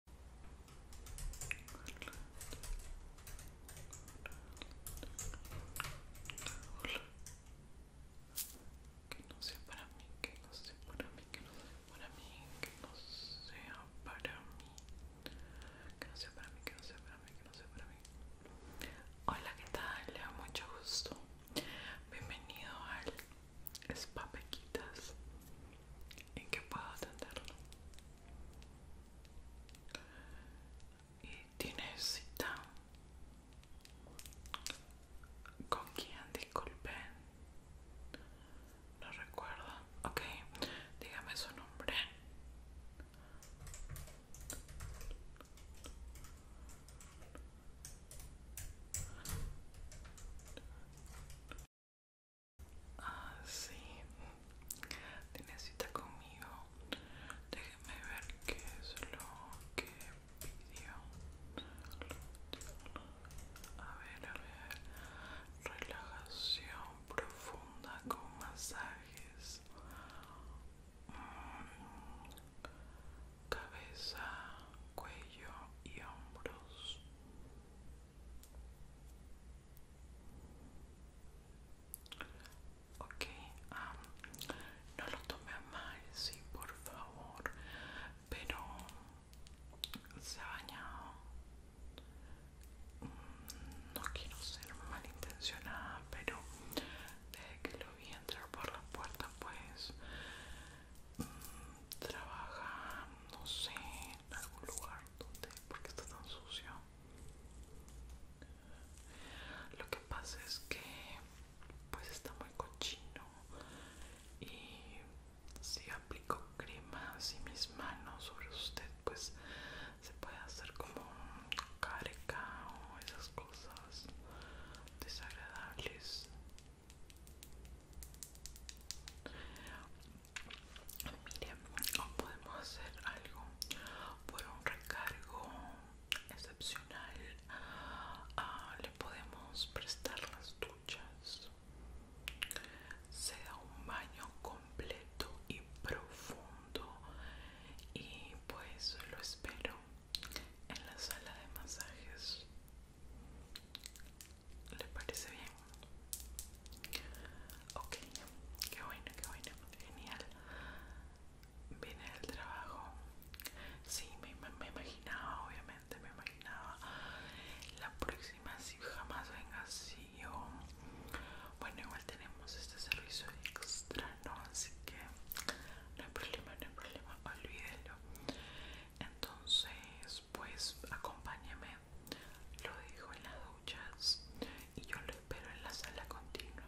Que no sea para mí, que no sea para mí, que no sea para mí, que no sea para mí. Que no sea para mí, que no sea para mí, que no sea para mí. Hola, ¿qué tal? Le da mucho gusto. Bienvenido al Spa Pequitas en que puedo atenderlo. ¿Y tiene cita? ¿Con quién? Disculpen. No recuerdo. Ok, dígame su nombre. Ah, sí. Tiene cita conmigo. déjeme ver qué es lo que pidió. A ver, a ver. Relajación profunda con masajes. Mm, cabeza, cuello y hombros. Ok, no lo tome mal, sí, por favor, pero se ha bañado. Mm, no quiero ser malintencionada, pero desde que lo vi entrar por la puerta, pues mm, trabaja, no sé, en algún lugar porque ¿Por qué está tan sucio? Lo que pasa es que pues está muy cochino y si aplico crema así mis manos sobre usted pues se puede hacer como carica o esas cosas desagradables Miren, podemos hacer algo por un recargo excepcional. Ah, le podemos prestar las duchas. Se da un baño completo y profundo. Y pues lo espero en la sala de masajes le parece bien? Ok, qué bueno, que bueno, genial. Viene el trabajo. Sí, me, imaginaba, obviamente, me imaginaba. La próxima, si jamás venga así, yo. Bueno, igual tenemos este servicio extra, ¿no? Así que no hay problema, no hay problema, olvídelo. Entonces, pues acompáñame Lo dejo en las duchas y yo lo espero en la sala continua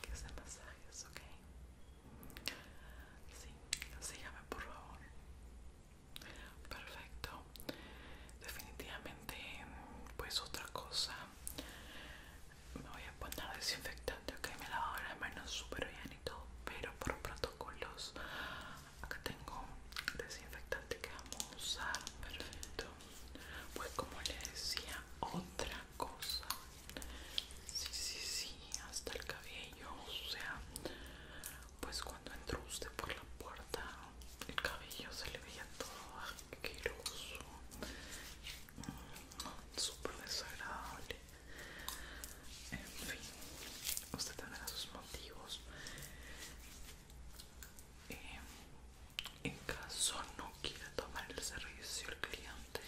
que se masajes, ¿ok? Sí, sígame por favor. Perfecto. Definitivamente, pues otra cosa. Me voy a poner desinfectante, ok, me lavo las manos súper bien y todo, pero por protocolos acá tengo desinfectante que vamos a usar perfecto pues como le decía otra cosa sí sí sí hasta el cabello o sea pues cuando entró usted por la puerta el cabello se le veía todo asqueroso mm, súper desagradable en fin usted tendrá sus motivos eh, en caso no quiera tomar el servicio el cliente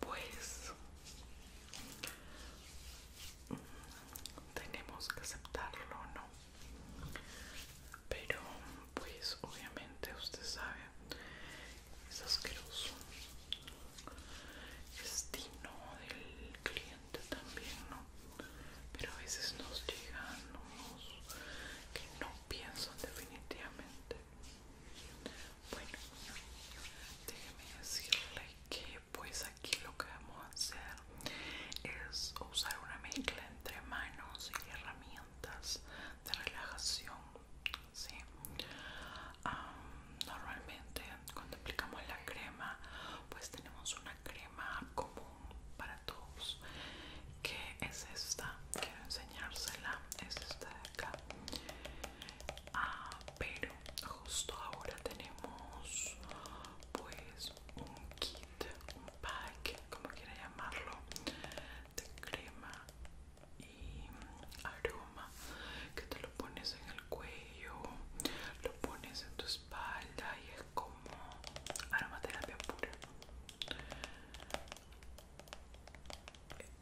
pues mm, tenemos que aceptarlo no pero pues obviamente usted sabe es asqueroso es destino del cliente también no pero a veces nos llegan unos que no piensan definitivamente. Bueno, déjenme decirles que pues aquí lo que vamos a hacer es usar una mezcla entre manos y herramientas de relajación. normalmente cuando aplicamos la crema pues tenemos una crema como para todos que es esta quiero enseñársela es esta de acá ah, pero justo ahora tenemos pues un kit un pack como quiera llamarlo de crema y aroma que te lo pones en el cuello lo pones en espalda espalda y es como aromaterapia pura.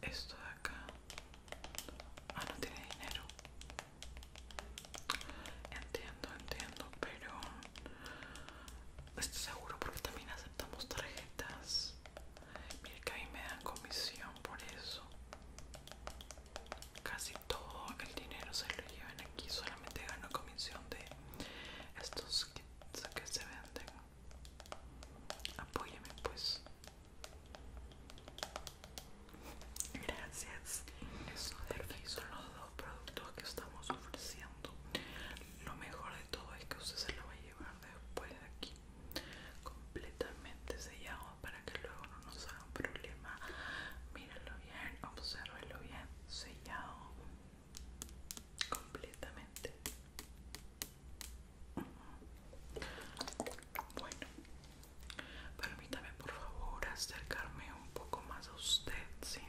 Esto de acá. Ah, no tiene dinero. Entiendo, entiendo, pero estoy seguro porque también aceptamos tarjetas. Mira que me dan comisión por eso. Casi todo el dinero se que aquí solamente gano comisión de estos kits que se venden apóyeme pues gracias eso de son los dos productos que estamos ofreciendo lo mejor de todo es que usted se lo va a llevar después de aquí completamente sellado para que luego no nos hagan problema mírenlo bien, observenlo bien sellado completamente bueno permítame por favor acercarme un poco más a usted ¿sí?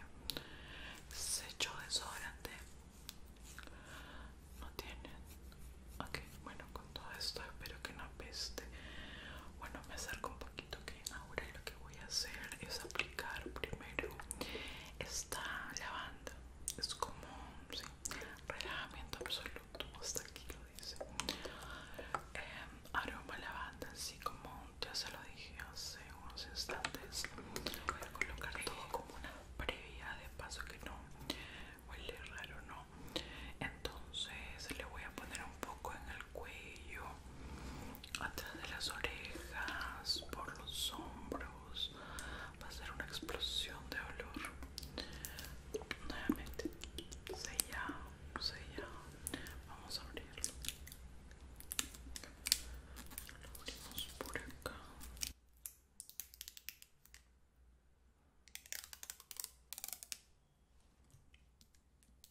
se echó desodorante no tiene ok bueno con todo esto espero que no apeste bueno me acerco un poquito ahora lo que voy a hacer es aplicar primero esta lavanda es como un relajamiento absoluto hasta aquí lo dice eh, aroma lavanda así como ya se lo dije hace unos instantes voy a colocar todo como una previa de paso que no huele raro no entonces le voy a poner un poco en cuello, atrás de las orejas, por los hombros. Va a ser una explosión de olor. Nuevamente, sellado, sellado. Vamos a abrirlo. Lo abrimos por acá.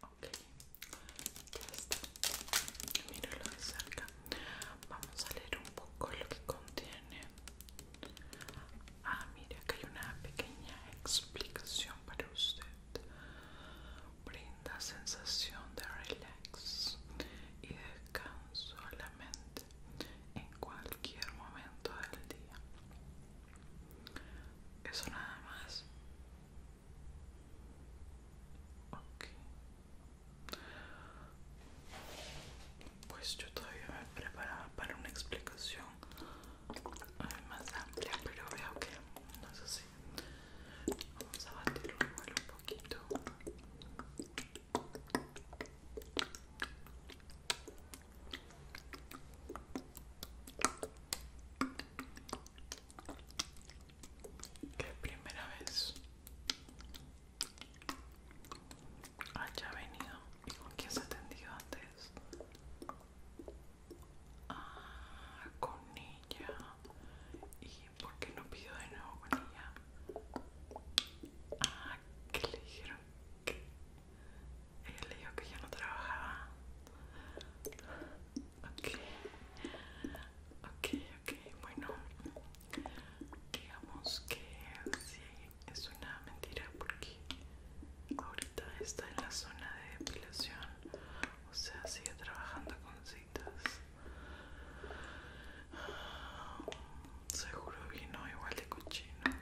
Ok, ya está. Míralo de cerca. Vamos a leer un poco lo que contiene. Ah, mira, que hay una pequeña explicación para usted. Brinda sensación de relax y descanso a la mente en cualquier momento del día. Eso nada más. Ok. Pues yo todavía me preparaba para una explicación eh, más amplia, pero veo que no es así. Vamos a batirlo igual un poquito. Que primera vez haya ah, venido y con quién se atendió antes. Ah, con ella ¿por qué no pido de nuevo con ella? Ah, que le dijeron ella le dijo que ya no trabajaba. Ok, ok, ok, bueno, digamos que sí, es una mentira porque ahorita está en la zona de depilación, o sea, sigue trabajando con sí Seguro vino igual de cochino.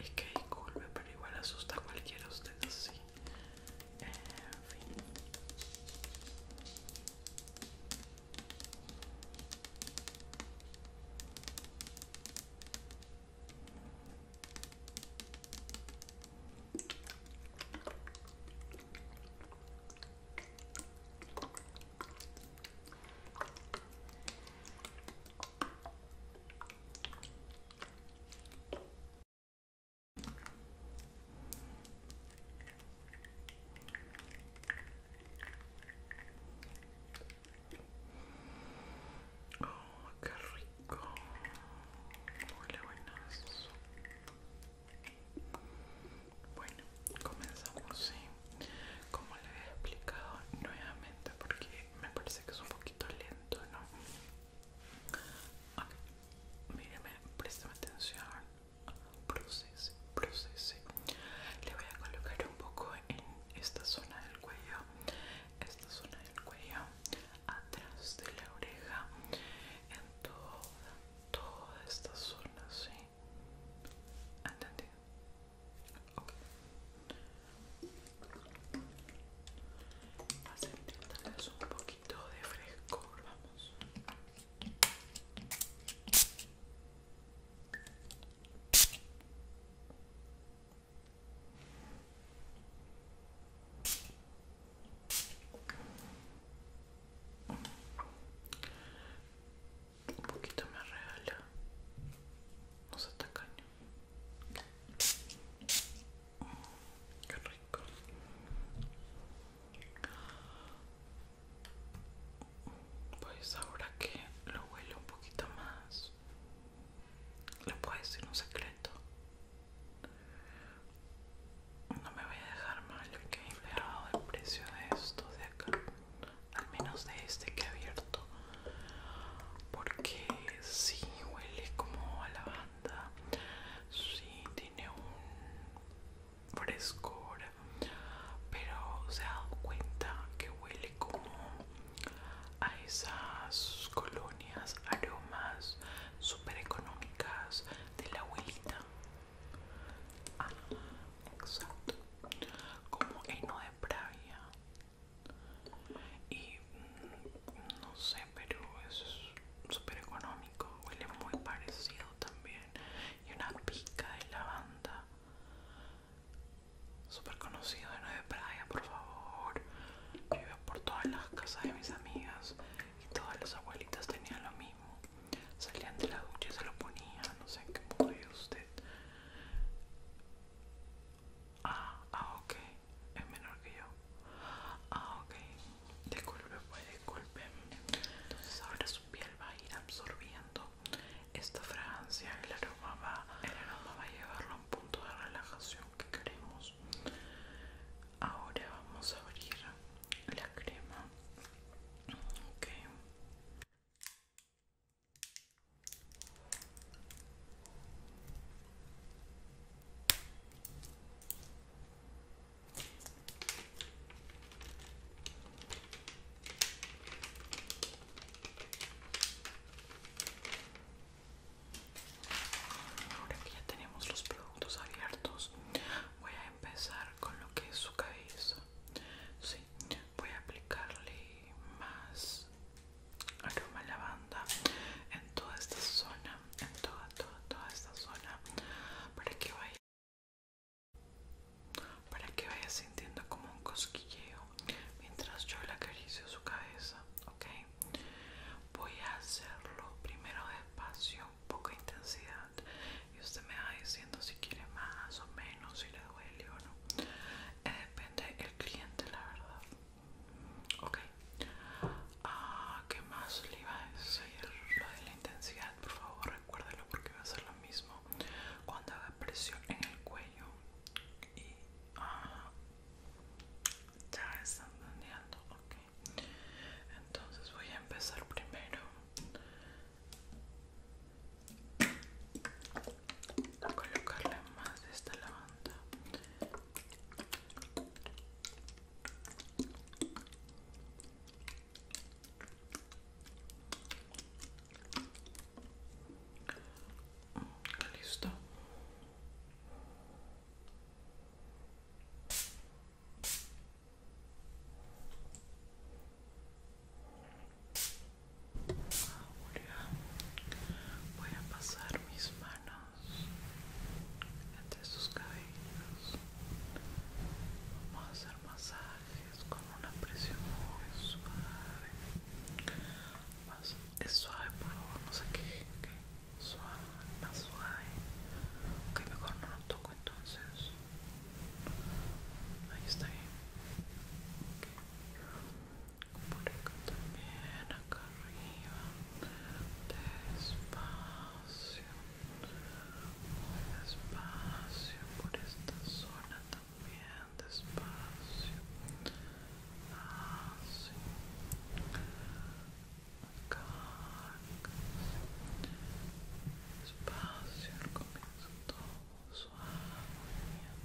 Es que disculpe, pero igual asusta a cualquiera de ustedes así. Oh, qué rico. Huele buenazo. Bueno, comenzamos, ¿sí? Como le había explicado nuevamente, porque me parece que es un poquito lento, ¿no? Ok, Míreme, préstame atención. Proceso, proceso Le voy a colocar un poco en esta zona del cuello, esta zona del cuello, atrás de la oreja, en toda, toda esta zona, ¿sí? Andate Ok. Vas a intentarles un poquito de frescor, vamos. Un poquito me regala. No se tacaño. Qué rico. Pues ahora que lo huele un poquito más, le puedo decir un secreto. No me voy a dejar mal, que he inflado el precio de esto de acá, al menos de este que he abierto, porque si huele como a lavanda, sí tiene un frescor, pero se ha dado cuenta que huele como a esas colonias, aromas super económicas de la abuelita Ah, exacto. Como heno de praia, Y mm, no sé, pero es súper económico. Huele muy parecido también. Y una pica de lavanda. Súper conocido heno de praia, por favor. Vive por todas las casas de mis amigas y todas las abuelitas tenían lo mismo salían de la ducha y se lo ponía, no sé en qué modo usted. Ah, ah, ok, es menor que yo. Ah, ok, disculpe, pues disculpe. Entonces ahora su piel va a ir absorbiendo esta fragancia, el aroma va, va a llevarlo a un punto de relajación que queremos. Ahora vamos a abrir la crema. Okay. Ahora que ya tenemos los productos abiertos, voy a empezar con lo que es su cabeza. voy a aplicarle más aroma lavanda en toda esta zona, en toda, toda, toda esta zona, para que vaya, para que vaya sintiendo como un cosquilleo mientras yo la acaricio su cabeza, ¿ok? Voy a hacerlo primero despacio, poca intensidad y usted me va diciendo si quiere más o menos, si le duele o no. Eh, depende el cliente, la verdad. Ok. Ah, ¿Qué más le iba a decir? Lo de la intensidad, por favor, recuérdelo porque va a ser lo mismo cuando haga presión en el cuello. Y. Ah, ya están entendiendo, ok. Entonces voy a empezar primero a colocarle más de esta lavanda mm, listo voy a pasar mis manos entre sus cabellos. Vamos a hacer masajes con una presión muy suave. es suave, por favor, no sé qué Suave, más suave. Ok, mejor no lo toco então, aí está bien okay. por acá también acá arriba despacio muy despacio por esta zona também, despacio así acá, acá todo movimientos,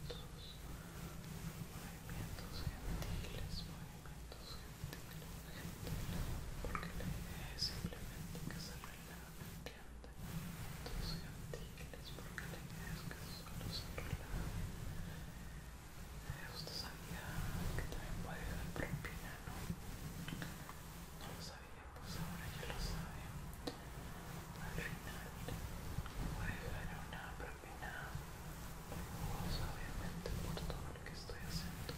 movimientos gentiles, movimientos gentiles, gentiles, porque la idea es simplemente que se relaje, ¿entiendes? Movimientos gentiles, porque la idea es que solo se relaje. usted sabía que también puede dar propina, ¿no? pues ahora ya lo saben Al final, voy a dejar una propina muy jugosa, por todo lo que estoy haciendo.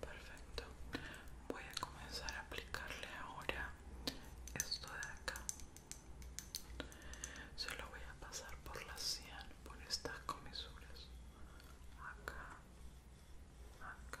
Perfecto. Voy a comenzar a aplicarle ahora esto de acá. Solo lo voy a pasar por la sien, por estas comisuras. Acá, acá,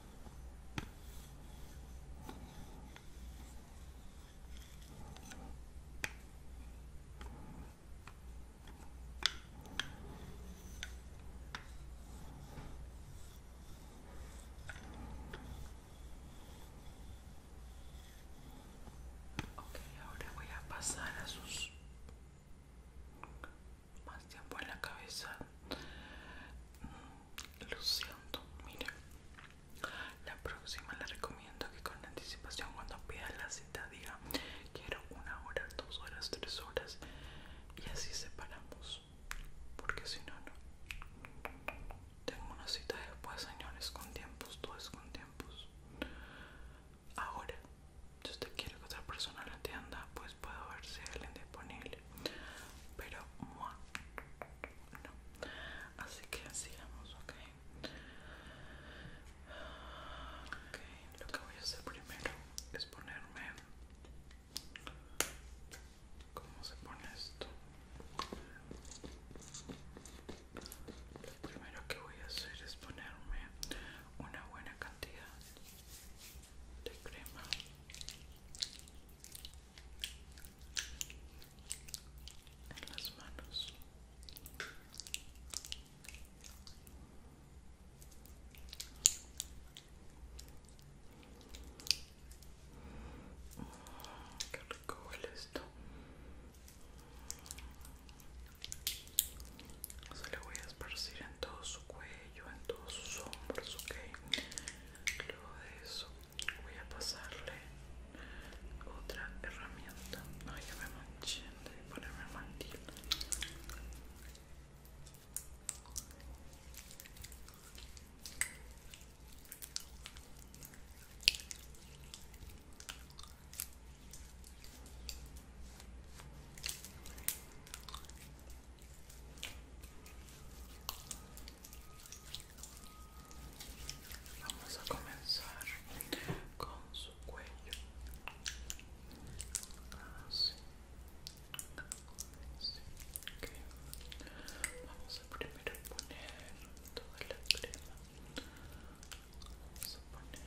Ok, ahora voy a pasar a sus más tiempo en la cabeza lo siento, mira. La próxima la recomiendo que con anticipación cuando pida la cita diga quiero una hora, dos horas, tres horas y así separamos. Porque si no, no. Tengo una cita después, señores, con tiempos, tú con tiempos. Ahora, si usted quiere que otra persona la atienda, pues puedo ver si alguien disponible pero así que sigamos ok ok lo que voy a hacer primero es ponerme cómo se pone esto lo primero que voy a hacer es ponerme una buena cantidad de crema en las manos Que mm, qué rico huele esto se le voy a esparcir en todo su cuello en todos sus hombros ok luego de eso voy a pasarle otra herramienta. No, ya me manché, de ponerme mantil. Vamos a comenzar con su cuello. Vamos a primero poner toda la crema. Vamos a poner.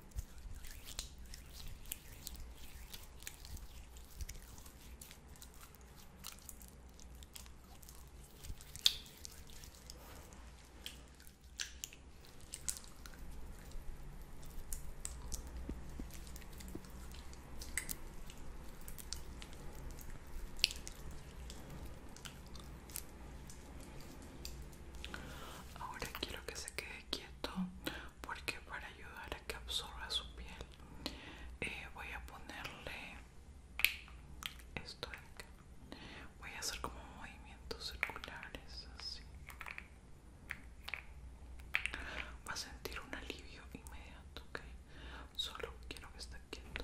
Ahora quiero que se quede quieto porque para ayudar a que absorba su piel eh, voy a ponerle esto de acá voy a hacer como movimientos circulares así va a sentir un alivio inmediato ok solo quiero que esté quieto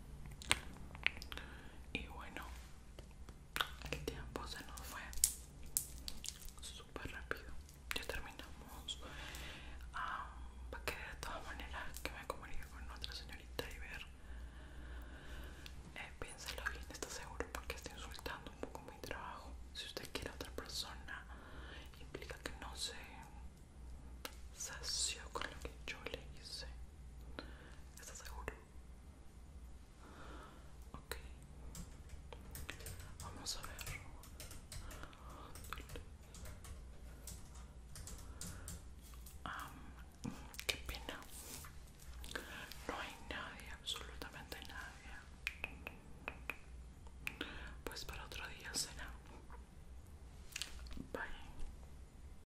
Y bueno, el tiempo se nos fue súper rápido. Ya terminamos. Ah, va a quedar de todas maneras que me comunique con otra señorita y ver. Eh, piénselo bien, está seguro porque está insultando un poco mi trabajo. Si usted quiere a otra persona, implica que no se sació con lo que yo le hice. ¿Estás seguro? Ok. Vamos a ver. qué pena. No hay nadie, absolutamente nadie. Pues para otro día cena. Bye.